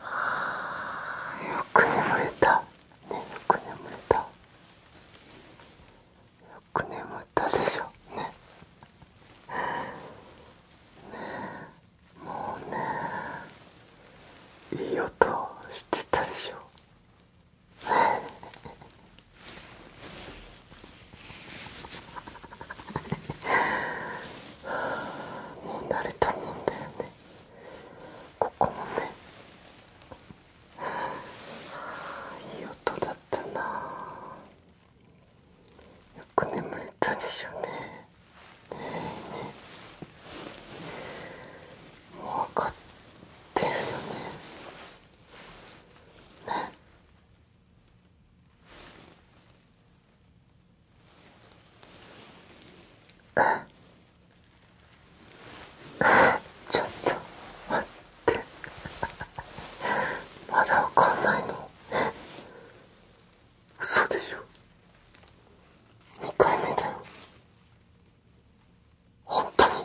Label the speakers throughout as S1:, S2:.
S1: あーよく眠れたねよく眠れたよく眠ったでしょねねえもうねいい音してたでしょね もう慣れたもんだよねここもねいい音だったなよく眠れたでしょうねねもう分かってるよねねちょっと待ってまだわかんないの嘘でしょ2回目だよ本当に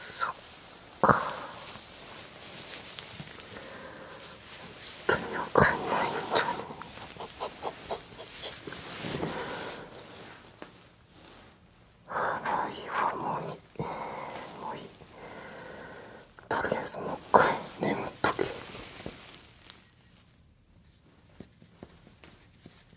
S1: そっか本当にわかんないんだねあいはわもういい、えー、もういいとりあえずもう一回眠っとけ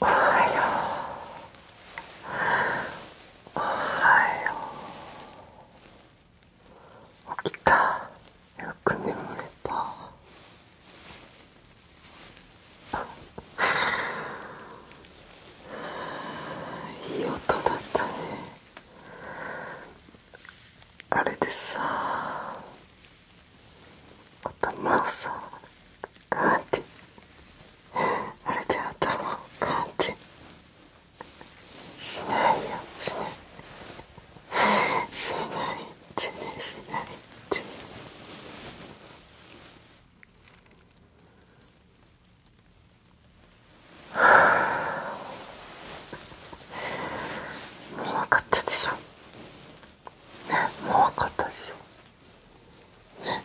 S1: おはようおはよう起きたよく眠れたいい音だったねあれでさ頭をさガーンってあれで頭をガーンてしないよしないしないってねしないって見なかったでしょもう分かったでしょね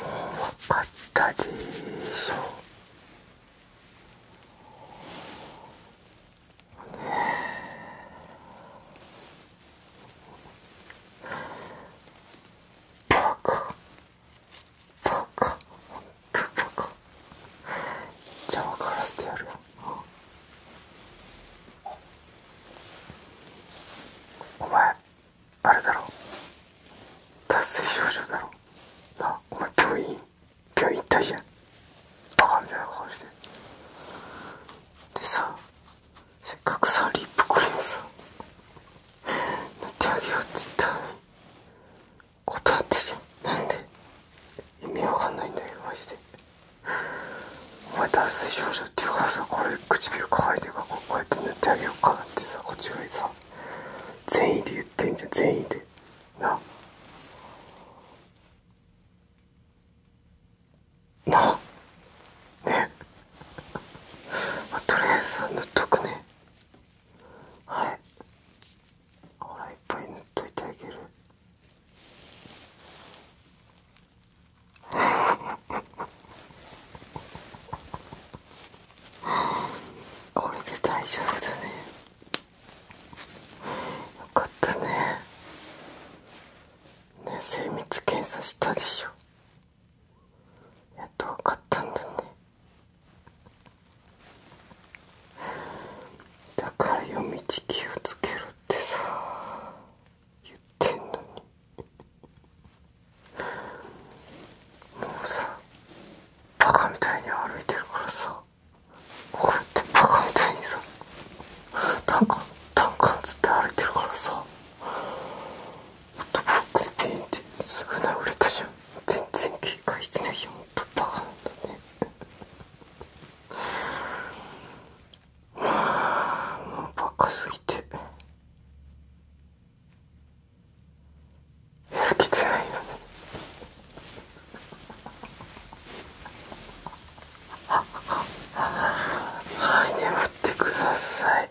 S1: もう分かったでしょねバカバカほんとバカじゃあ分からせてやるよお前あれだろ脱水症状だろなお前病院病院行ったじゃんバカみたいな顔してでさせっかくさリップクリームさ塗ってあようってたのに断ってじゃんなんで意味わかんないんだよマジでお前脱水症状って言うからさこれ唇乾いてるからこうやって塗ってあげようかなってさこっちがさ善意で言ってんじゃん善意でななねまあ、とりあえずさ塗っとくねはいほらいっぱい塗っといてあげるこれ で大丈夫だねよかったねね精密検査したでしょやっと分かったんだねだから夜道気をつけろってさ言ってんのにもうさバカみたいに歩いてるからさこうやってバカみたいにさタンン、カタンカンつって歩いてるからさほんックにピンってすぐ殴れたじゃん全然警戒してないよほんとバカなんだねもうバカすぎてやる気出ないよねはい眠ってください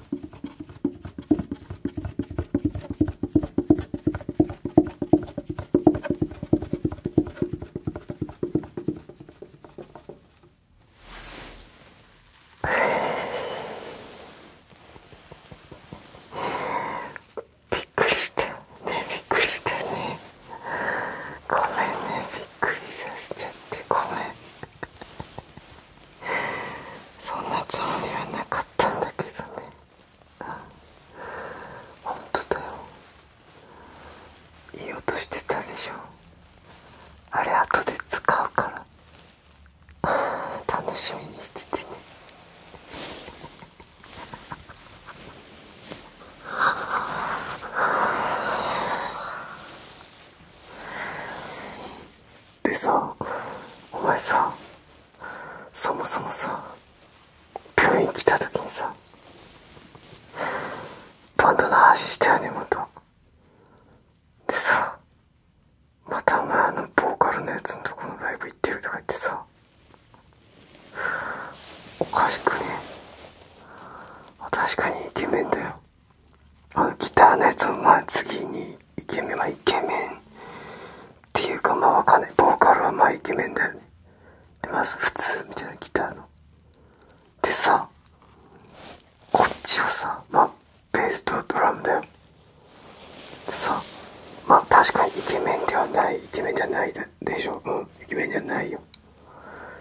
S1: びっくりしたねびっくりしたねごめんねびっくりさせちゃってごめんそんなつもりはなかったんだけどね本当だよいい音してたでしょあれ後で使うから楽しみにしててねでさお前さそもそもさ病院来た時にさバンドの話してやねまたでさまたお前あのボーカルのやつのとこのライブ行ってるとか言ってさおかしくね確かにイケメンだよあのギターのやつをまあ次にイケメンはイケメンっていうかまあわかんないボーカルはまあイケメンだよねでまず普通みたいなギターのでさこっちはさまあベースとドラムだよでさまあ確かにイケメンではないイケメンじゃないでしょうんイケメンじゃないよ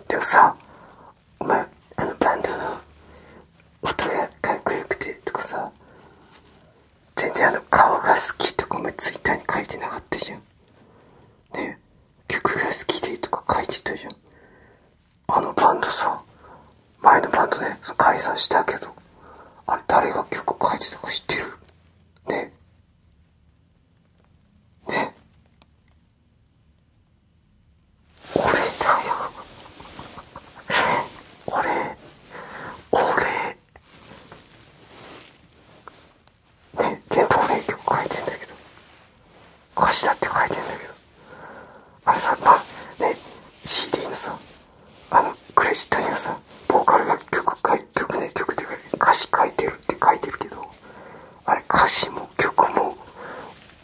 S1: でもさお前あのバンドの音がかっこよくてとかさ全然あの顔が好きとかもツイッターに書いてなかったじゃんね曲が好きでとか書いてたじゃんあのバンドさ前のバンドね解散したけどあれ誰が曲書いてたか知ってるねね俺だよ俺俺ね全部俺曲書いてんだけど歌詞だって書いてんだけどあれさまあね CD のさあのクレジットにはさボーカルが曲書い曲ね曲って歌詞書いてるって書いてるけどあれ歌詞も曲も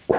S1: 俺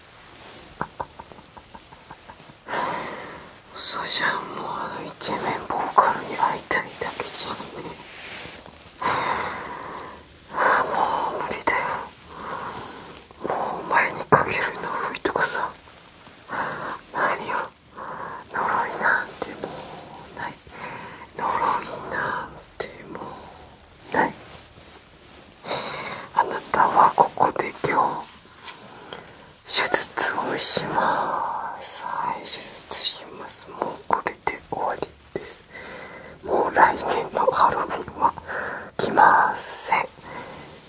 S1: そじゃん、もうあのイケメンボーカルに会いたいだけじゃんねもう無理だよもうお前にかける呪いとかさ何よ呪いなんてもうない呪いなんてもうないあなたはここで今日手術をしますはい手術しますもうこれで終わりですもう来年のハロウィンは来ません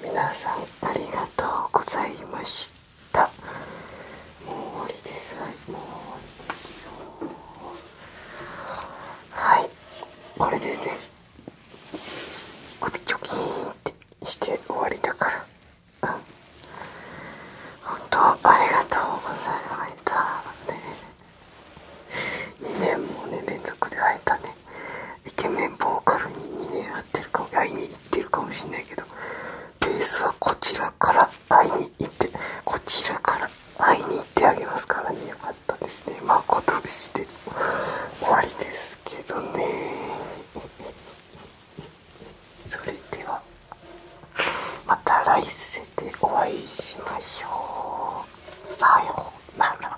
S1: 皆さんありがとうございましたもう終わりですはいもう終わりですよはいこれでね首チョキーンってして終わりだからうん本当ありがとうございます。たって2年もね連続で会えたねイケメンボーカルに2年会ってるかも会いに行ってるかもしんないけどベースはこちらから会いに行ってこちらから会いに行ってあげますからねよかったですね誠して終わりですけどね それではまた来世でお会いしましょうさようなら